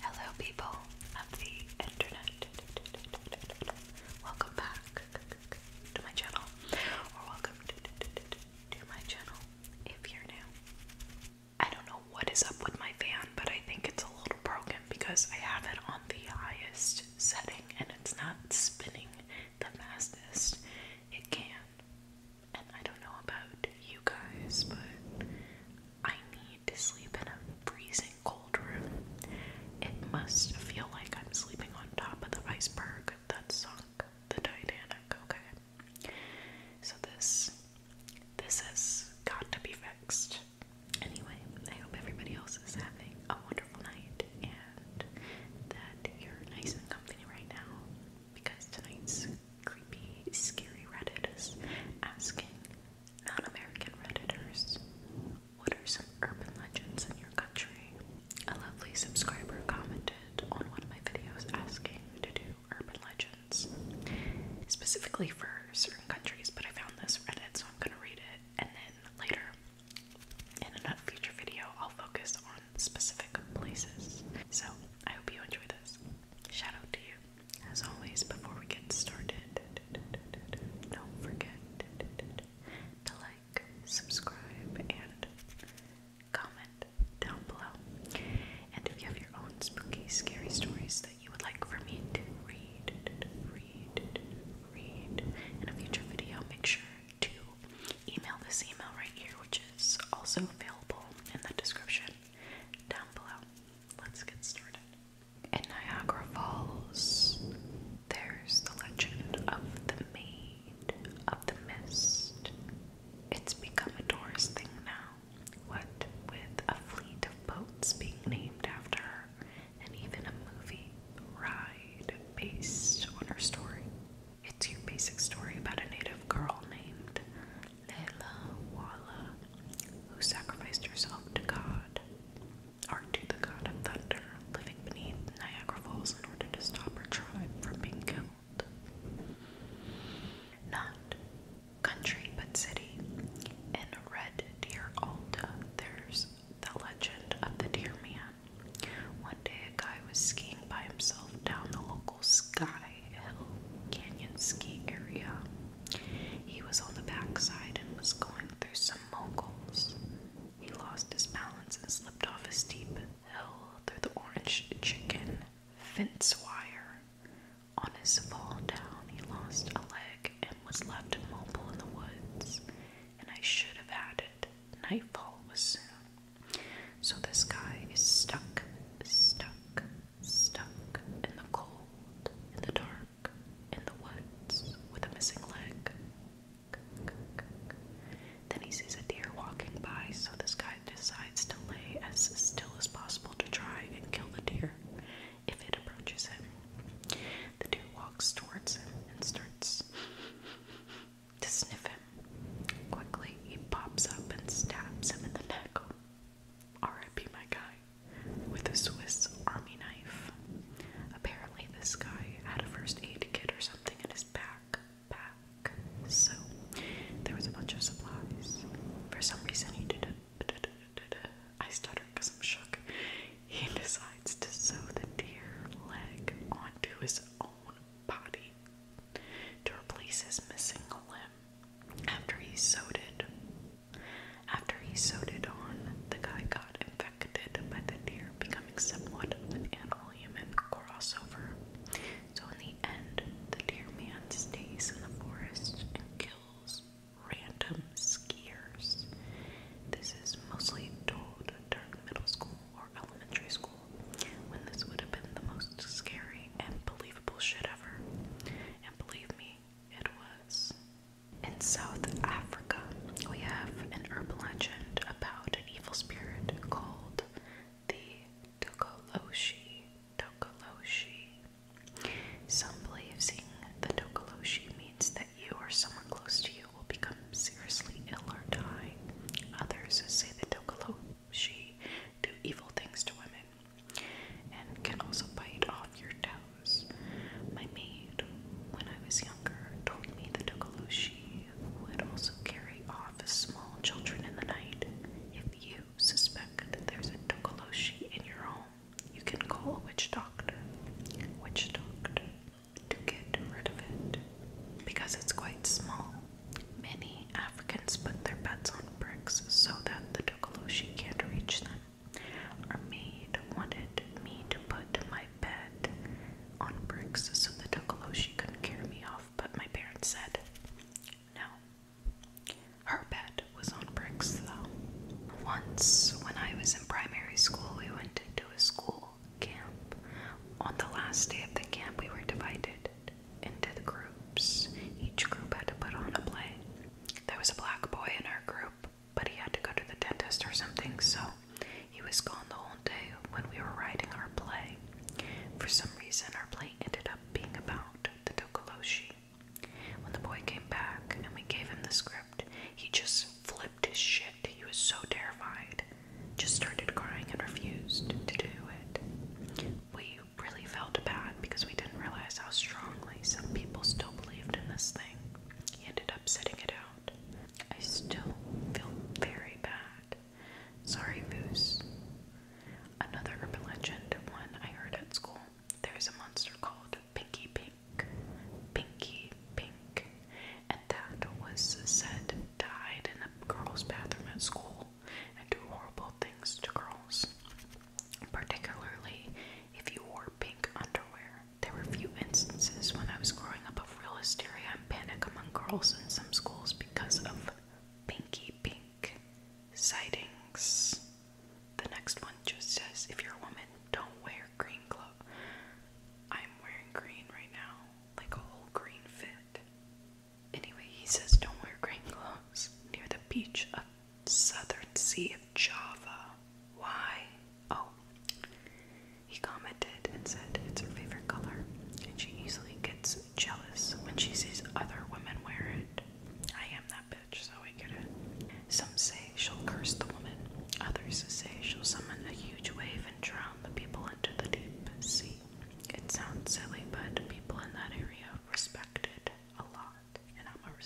Hello, people of the internet. Welcome back to my channel, or welcome to my channel if you're new. I don't know what is up with my fan, but I think it's a little broken because I have it on the highest setting and it's not spinning the fastest it can. And I don't know about you guys, but I need to sleep in a freezing cold room. It must feel like I'm sleeping on top of the iceberg that sunk the Titanic, okay? So this this has got to be fixed. Anyway, I hope everybody else is having a wonderful night and that you're nice and comfy right now because tonight's creepy, scary is asking non American Redditors, What are some urban legends in your country? A lovely subscriber commented on one of my videos asking to do urban legends, specifically for certain countries, but I found this Reddit, so I'm gonna read it and then later. In another future video, I'll focus on specific places. So, I hope you enjoy this. Shout out to you. As always, before we get started, don't forget to like, subscribe, and comment down below. And if you have your own spooky, scary stories that you would like for me to read, read, read in a future video, make sure to email this email right here, which is also available in the description down below let's get started. In Niagara Falls, there's the legend of the Maid of the Mist. It's become a tourist thing now, what with a fleet of boats being named after her, and even a movie ride based on her story. It's your basic story about a native girl named Layla Walla, who sacrificed herself to God, or to the God of Thunder, living beneath Niagara Falls in order to stop her tribe from being killed. Not country, but city. In Red Deer Alta, there's the legend of the Deer Man. One day, a guy was skiing by himself down the local local Sky Hill Canyon ski area. He was on the backside and was going through some moguls. He lost his balance and slipped off a steep hill through the orange chicken fence wire. On his fall down, he lost a leg and was left immobile in the woods. And I should have added, nightfall was soon. So this guy is stuck, stuck, Stuck in the cold, in the dark, in the woods, with a missing leg. Then he sees a deer walking by, so this guy decides to lay as still as possible to try and kill the deer if it approaches him. The deer walks towards him and starts to sniff him. Quickly, he pops up and stabs him in the neck R.I.P. my guy, with a Swiss army knife. Apparently, this guy had a first aid kit or something in his backpack, so there was a bunch of supplies. For some reason, he did it. I stuttered because I'm shook. He decides to sew the deer leg onto his own body to replace his missing limb. After he sewed it, after he sewed it on, the guy got infected by the deer, becoming somewhat of an animal-human crossover. So in the end, the deer man stays in the forest and kills random skiers. This is mostly told during middle school or elementary school, when this would have been the most scary and believable shit ever. And believe me, it was. In South Africa, we have an urban legend about an evil spirit called the Tokoloshi. Tokoloshi. Some believe seeing the Tokoloshi means that you or someone close to you will become seriously ill or die. Others say the Tokoloshi she do evil things to women and can also bite off your toes. My maid, when I was younger, told me that Tokoloshi would also carry off small children in the night. If you suspect that there's a Tokoloshi in your home, you can call a witch doctor, witch doctor, to get rid of it because it's quite small. Many Africans put their bets on bricks so that the Tokoloshi can't reach them. Our maid wanted me to put my bed on bricks so the Tokoloshi couldn't carry me off, but my parents said no. Her bed was on bricks though. Once, when I was in primary school, we went to a school camp. On the last day of the camp, we were divided into the groups. Each group had to put on a play. There was a black boy in our group, but he had to go to the dentist or something, so he was gone the whole day when we were writing our play. For some reason, our play ended up being about the Dokoloshi. When the boy came back and we gave him the script, he just flipped his shit. He was so terrified, just started crying and refused to do it we really felt bad because we didn't realize how strongly some people still believed in this thing. He ended up setting it out. I still feel very bad. Sorry, Boos. Another urban legend, one I heard at school. There's a monster called Pinky Pink. Pinky Pink. And that was said died in a girls' bathroom at school and do horrible things to girls. Particularly if you wore pink underwear. There were a few instances when I was growing up of real hysteria and panic among girls in some schools because of pinky pink sightings. The next one just says if you're a woman, don't wear green clothes. I'm wearing green right now, like a whole green fit. Anyway, he says don't wear more clothes near the beach of southern sea of Java. Why? Oh. He commented and said it's her favorite color, and she easily gets jealous when she sees other women wear it. I am that bitch, so I get it. Some say she'll curse the woman, others say she'll summon a huge wave and drown the people into the deep sea. It sounds silly, but people in that area respect it a lot, and I'm going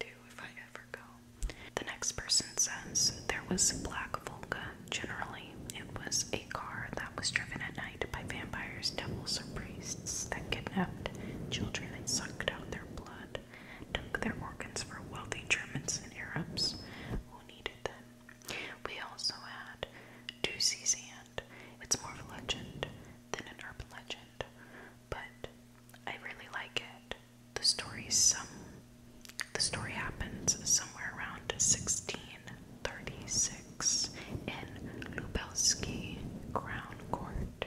too if I ever go. The next person says there was Black Volga. Generally, it was a car that was driven at night by vampires, devils, or priests that kidnapped children and sucked out their blood, took their organs for wealthy Germans and Arabs who needed them. We also had Doozy Zan, it's more of a legend than an urban legend, but I really like it. The story's some the story happens somewhere around 1636 in Lubelski Crown Court.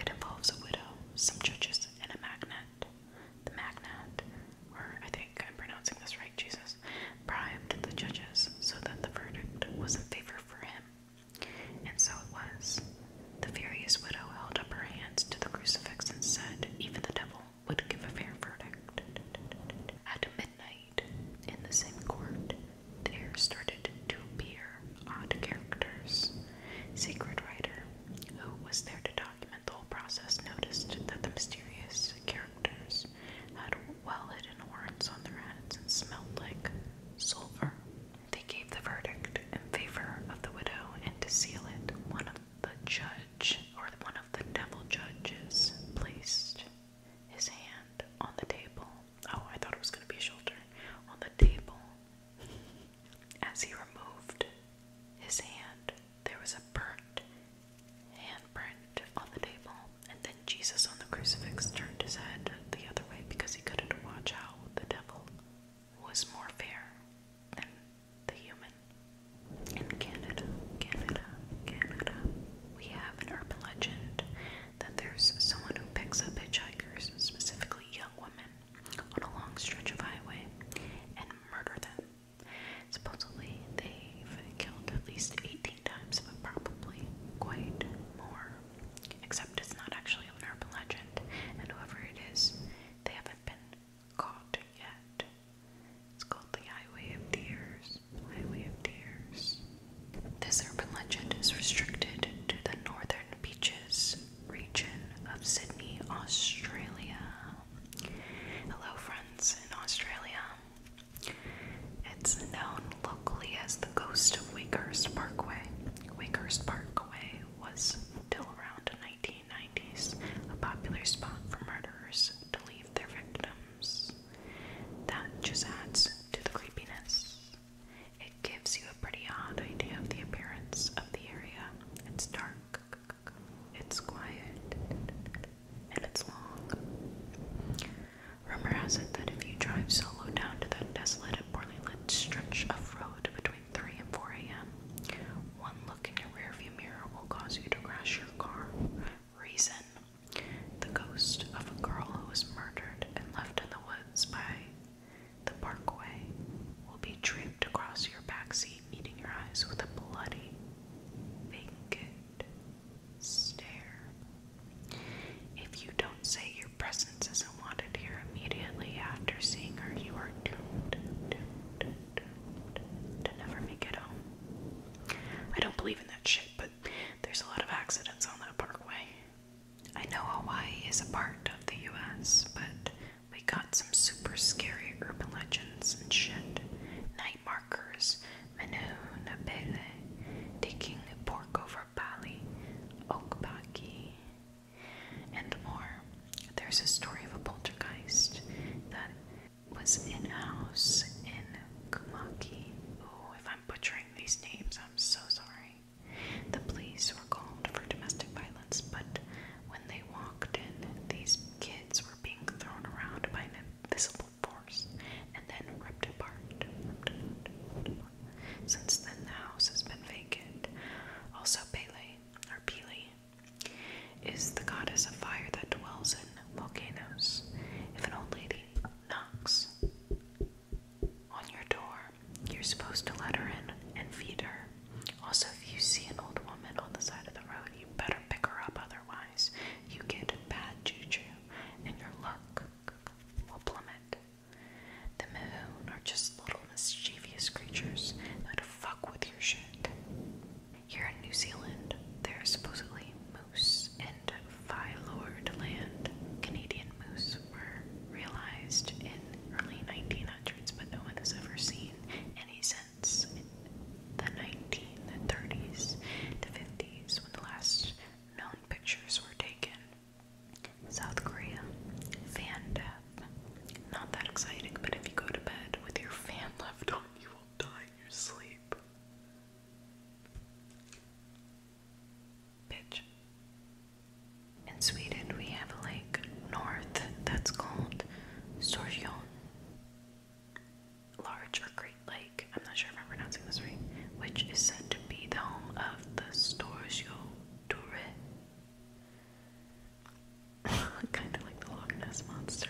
It involves a widow, some judges, and a magnet. The magnate, or I think I'm pronouncing this right, Jesus, bribed the judges so that the verdict was in favor for him. And so it was. The furious widow held up her hands to the crucifix and said, Even the devil would give a fair verdict. At midnight, in the same court, there started to appear odd characters. Secret writer, who was there to document the whole process, noticed that the mysterious characters had well-hidden horns on their heads and smelled like silver. They gave the verdict in favor of the widow, and to seal it, one of the judge or one of the devil judges placed his hand on the table. Oh, I thought it was going to be a shoulder on the table. As he removed his hand, there was a burnt handprint on the table, and then Jesus on the crucifix turned his head the other way because he couldn't watch how the devil was more fair than the human. In Canada, Canada, Canada, we have an urban legend that there's someone who picks up hitchhikers, specifically young women, on a long stretch of highway and murder them. Supposedly, they've killed at least 18 times, but probably quite more. Except it's not actually an urban legend, and whoever it is, they haven't been caught yet. It's called the Highway of Tears. Highway of Tears. This urban legend is restricted to the northern beaches region of Sydney, Australia. Hello, friends in Australia. It's known locally as the ghost of Wakehurst Parkway. Wakehurst Parkway was, still around in 1990s, a popular spot for murderers to leave their victims. That just adds to the creepiness. It gives you a pretty odd idea of the appearance of the area. It's dark, it's quiet, and it's long. Rumor has it that if you drive solo down to that desolate and poorly lit stretch of road between 3 and 4 a.m., one look in your rearview mirror will cause you to crash your car. Reason The ghost of a girl who was murdered and left in the woods by the parkway will be draped across your backseat, eating your eyes with a bloody. Naked stare. If you don't say your presence isn't wanted here immediately after seeing her, you are doomed, to never make it home. I don't believe in that shit, but there's a lot of accidents on that parkway. I know Hawaii is a part of the US, but we got some super scary urban legends and shit. Night markers, Manu Napele, taking pork over Bali, Okbaki, and more. There's a story of a poltergeist that was in a house in Kumaki. Oh, if I'm butchering these names, I'm so sorry. The police were called for domestic violence, but when they walked in, these kids were being thrown around by an invisible force, and then ripped apart. Since then, the house has been vacant. Also, Pele, or Pele, is the goddess of fire that dwells in volcanoes. If an old lady knocks on your door, you're supposed to let her in and feed her. Also, if you see an old woman on the side of the road, you better pick her up, otherwise, you get bad juju and your luck sunk will plummet. The Mahoon are just little mischievous creatures that fuck with your shit. Here in New Zealand, there are supposedly moose and Filord land. Canadian moose were realized in early 1900s, but no one has ever seen any since the 1930s to 50s when the last known pictures were taken. South Korea, fan death. Not that exciting, but if you go to bed with your fan left on, you will die in your sleep. Pitch. In Sweden, we have a lake north that's called Sorjon. Large or Great Lake. I'm not sure if I'm pronouncing this right, which is said to be the home of the Storsio Touré. kind of like the Loch Ness Monster.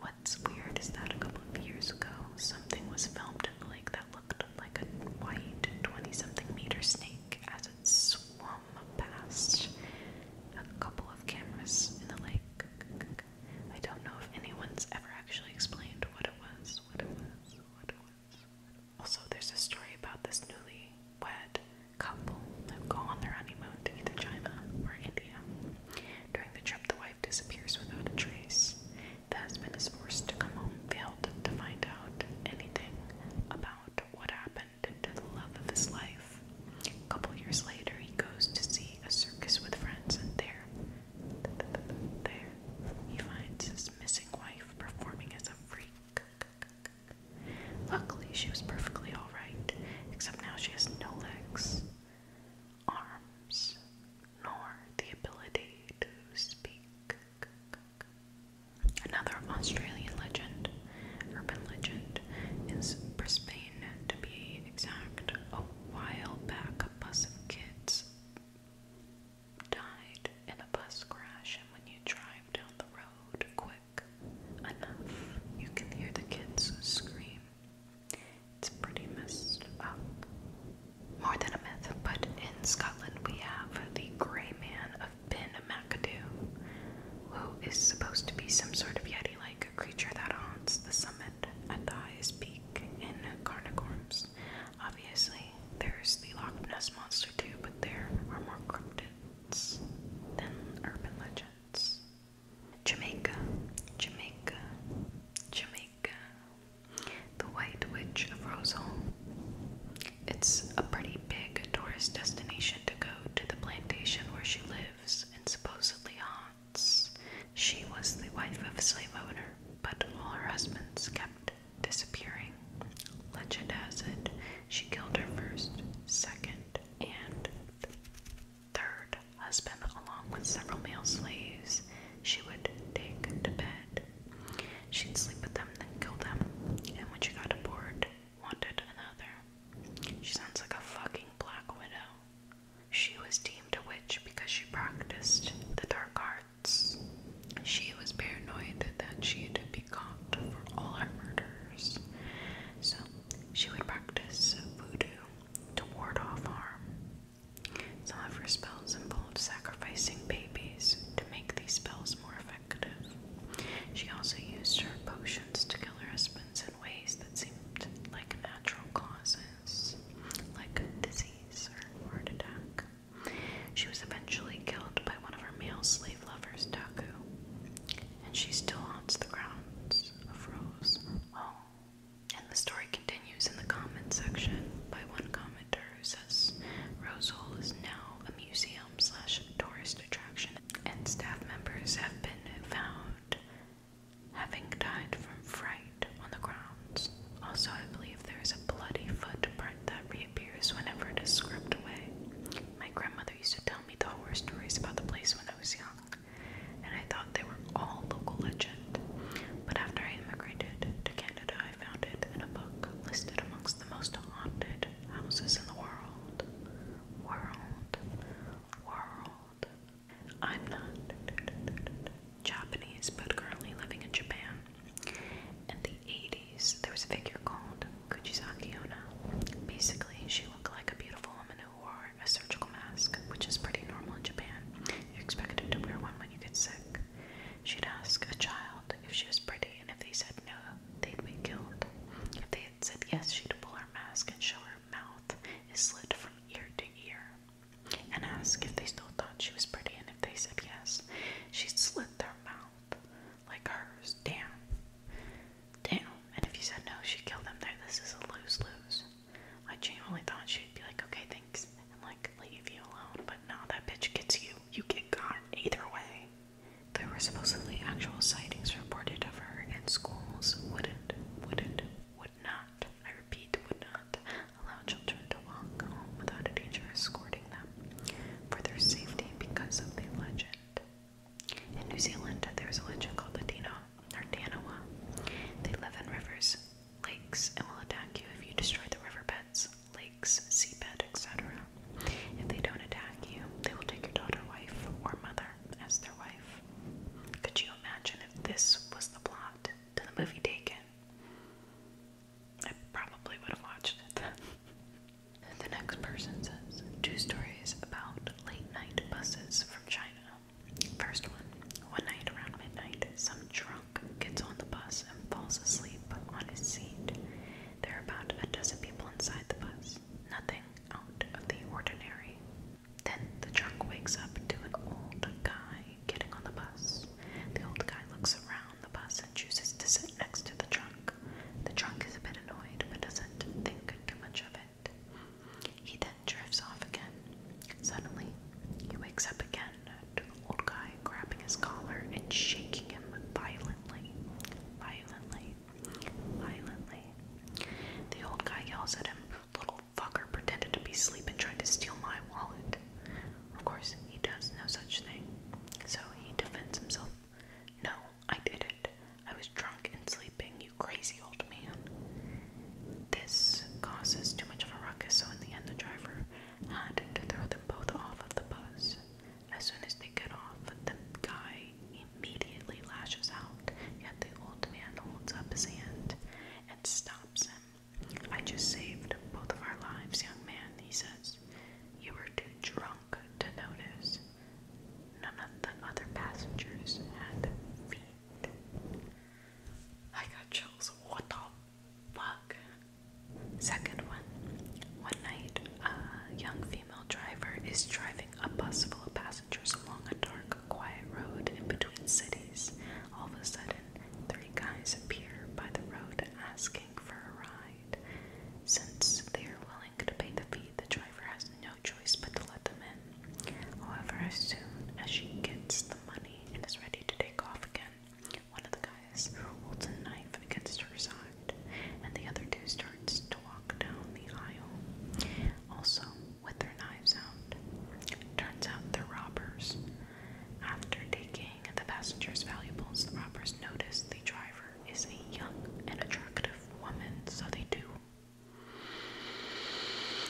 What's weird is that a couple of years ago, something was filmed in the lake that looked like a white 20 something meter snake as it swum past a couple of cameras in the lake. I don't know if anyone's ever actually explained what it was. Also, there's a story about this newly wed couple who go on their honeymoon to either China or India. During the trip, the wife disappears without a trace. The husband is forced to come home, failed to find out anything about what happened to the love of his life. A couple years later, he goes to see a circus with friends, and there there, he finds his missing wife performing as a freak. Luckily, she was perfectly alright, except now she has no legs, arms, nor the ability to speak. Another Australian legend, urban legend, is Brisbane to be exact. A while back, a bus of kids died in a bus crash, and when you drive down the road quick enough, you can hear the kids scream. It's pretty messed up. More than a myth, but in Scotland we have the Grey Man of Ben McAdoo, who is supposed to be some sort of yeti like creature that haunts the summit at the highest peak in Carnarvorms. Obviously, there's the Loch Ness Monster too, but there are more cryptids than urban legends. Jamaica, Jamaica, Jamaica. The White Witch of Rosal. It's a pretty big tourist destination to go to the plantation where she lives and supposedly haunts she was the wife of a slave owner, but all her husbands kept disappearing. Legend has it she killed her first, second, and third husband, along with several male slaves she would take to bed. She'd sleep with them, then kill them, and when she got bored, wanted another. She sounds like a fucking black widow. She was deemed a witch because she practiced the dark arts. She was paranoid that she'd be caught for all her murders, so she would practice voodoo to ward off harm. Some of her spells involved sacrificing babies to make these spells more effective. She also used her potions to kill her husbands in ways that seemed like natural causes like disease or heart attack. She was eventually killed by one of her male slave lovers, Taku, and she still haunts the grounds of Rose Hall. And the story continues in the comment section by one commenter who says Rose Hall is now a museum slash tourist attraction, and staff members have been found having died from fright on the grounds. Also, I believe there is a bloody footprint that reappears whenever it is scrubbed away. My grandmother used to tell me the horror stories about the place when I was young, and I thought they were all local legend. But after I immigrated to Canada, I found it in a book listed amongst the most haunted houses in the world. World. World. I'm not Japanese but currently living in Japan. In the 80s, there was a figure called Kujisaki Onna. Basically, she looked like a beautiful woman who wore a surgical mask, which is pretty normal in Japan. You're expected to wear one when you get sick. She'd ask a child if she was pretty, and if they said no, they'd be killed. If they said yes, she'd pull her mask and show her mouth is slit from ear to ear and asked if they still thought she was pretty, and if they said yes, she slit their mouth like hers. Damn. Damn. And if you said no, she'd kill them there. This is a lose lose. I genuinely thought she'd be like, okay, thanks, and like leave you alone, but no, that bitch gets you. You get got either way. There were supposedly actual sightings reported of her in schools. Wouldn't, wouldn't, would not. I repeat, would not allow children to walk home without a teacher escorting them for their safety because of the legend. In New Zealand, there's a legend called the Dino, or Danawa. They live in rivers, lakes, and will attack you if you destroy the riverbeds, lakes, seabed, etc. If they don't attack you, they will take your daughter, wife, or mother as their wife. Could you imagine if this was the plot to the movie Taken? I probably would have watched it. the next person says two stories about late night buses from China. First one one night around midnight, some drunk gets on the bus and falls asleep on his seat. There are about a dozen people inside the bus, nothing out of the ordinary. Then the drunk wakes up to an old guy getting on the bus. The old guy looks around the bus and chooses to sit next to the trunk. The trunk is a bit annoyed but doesn't think too much of it. He then drifts off again. Suddenly, he wakes up again to the old guy grabbing his collar and shaking him violently. Violently. Violently. The old guy yells at him, Little fucker pretended to be asleep and tried to steal my wallet. Of course, he does no such thing. So he defends himself. No, I didn't. I was drunk and sleeping, you crazy old man. This causes too much of a ruckus, so in the end, the driver had to throw them both off of the bus. As soon as they get off, the guy immediately lashes out, yet the old man holds up his hand and stops him. I just saved both of our lives, young man, he says. You were too drunk to notice. None of the other passengers had feet. I got chills. What the fuck? Second one. One night, a young female driver is driving a bus full of passengers along a dark, quiet road in between cities. All of a sudden, three guys appear by the road asking for a ride. Since they are willing to pay the fee, the driver has no choice but to let them in. However, as soon as she gets the money and is ready to take off again, one of the guys holds a knife against her side, and the other two starts to walk down the aisle, also with their knives out. Turns out they're robbers. After taking the passenger's valuables, the robbers notice the driver is a young and attractive woman, so they do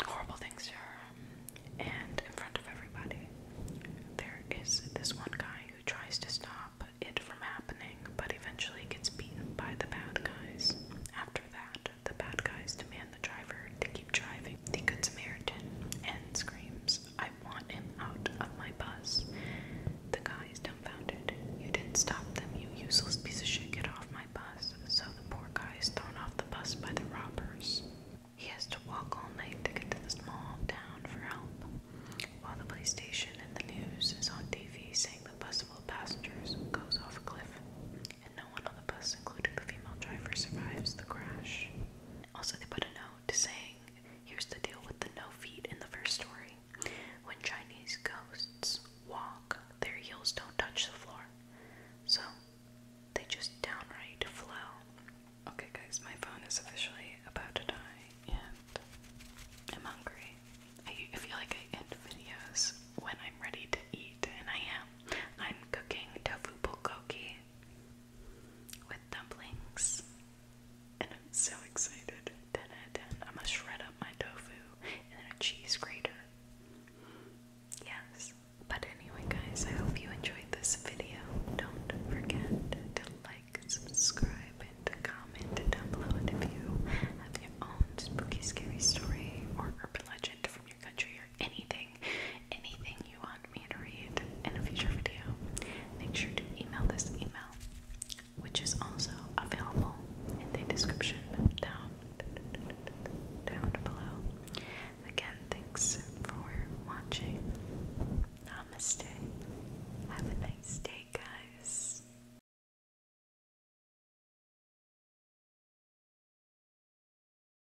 horrible things to her. And in front of everybody, there is this one guy who tries to stop it from happening, but eventually gets beaten by the bad guys. After that, the bad guys demand the driver to keep driving. The Good Samaritan and screams, I want him out of my bus. The guy is dumbfounded. You didn't stop them, you useless piece of shit. Get off my bus. So the poor guy is thrown off the bus by the robbers. He has to walk all night to get to the small town for help. While the police station and the news is on TV saying the bus full of passengers goes off a cliff and no one on the bus, including the female driver, survives the crash. Also, they put a note saying, Here's the deal with the no feet in the first story. When Chinese ghosts walk, their heels don't touch the floor. So, they just downright flow. Okay, guys, my phone is officially about to die, and I'm hungry. I feel like I end videos when I'm ready to eat, and I am. I'm cooking tofu bulgogi with dumplings. And I'm so excited. 10 out of I'm gonna shred up my tofu in a cheese grater. Yes. But anyway, guys, I hope you enjoyed this video. Don't forget to like, subscribe, and comment down below. And if you have your own spooky, scary story or urban legend from your country anything, anything you want me to read in a future video, make sure to email this email, which is also available in the description down, down below. Again, thanks for watching. Namaste. Have a nice day, guys.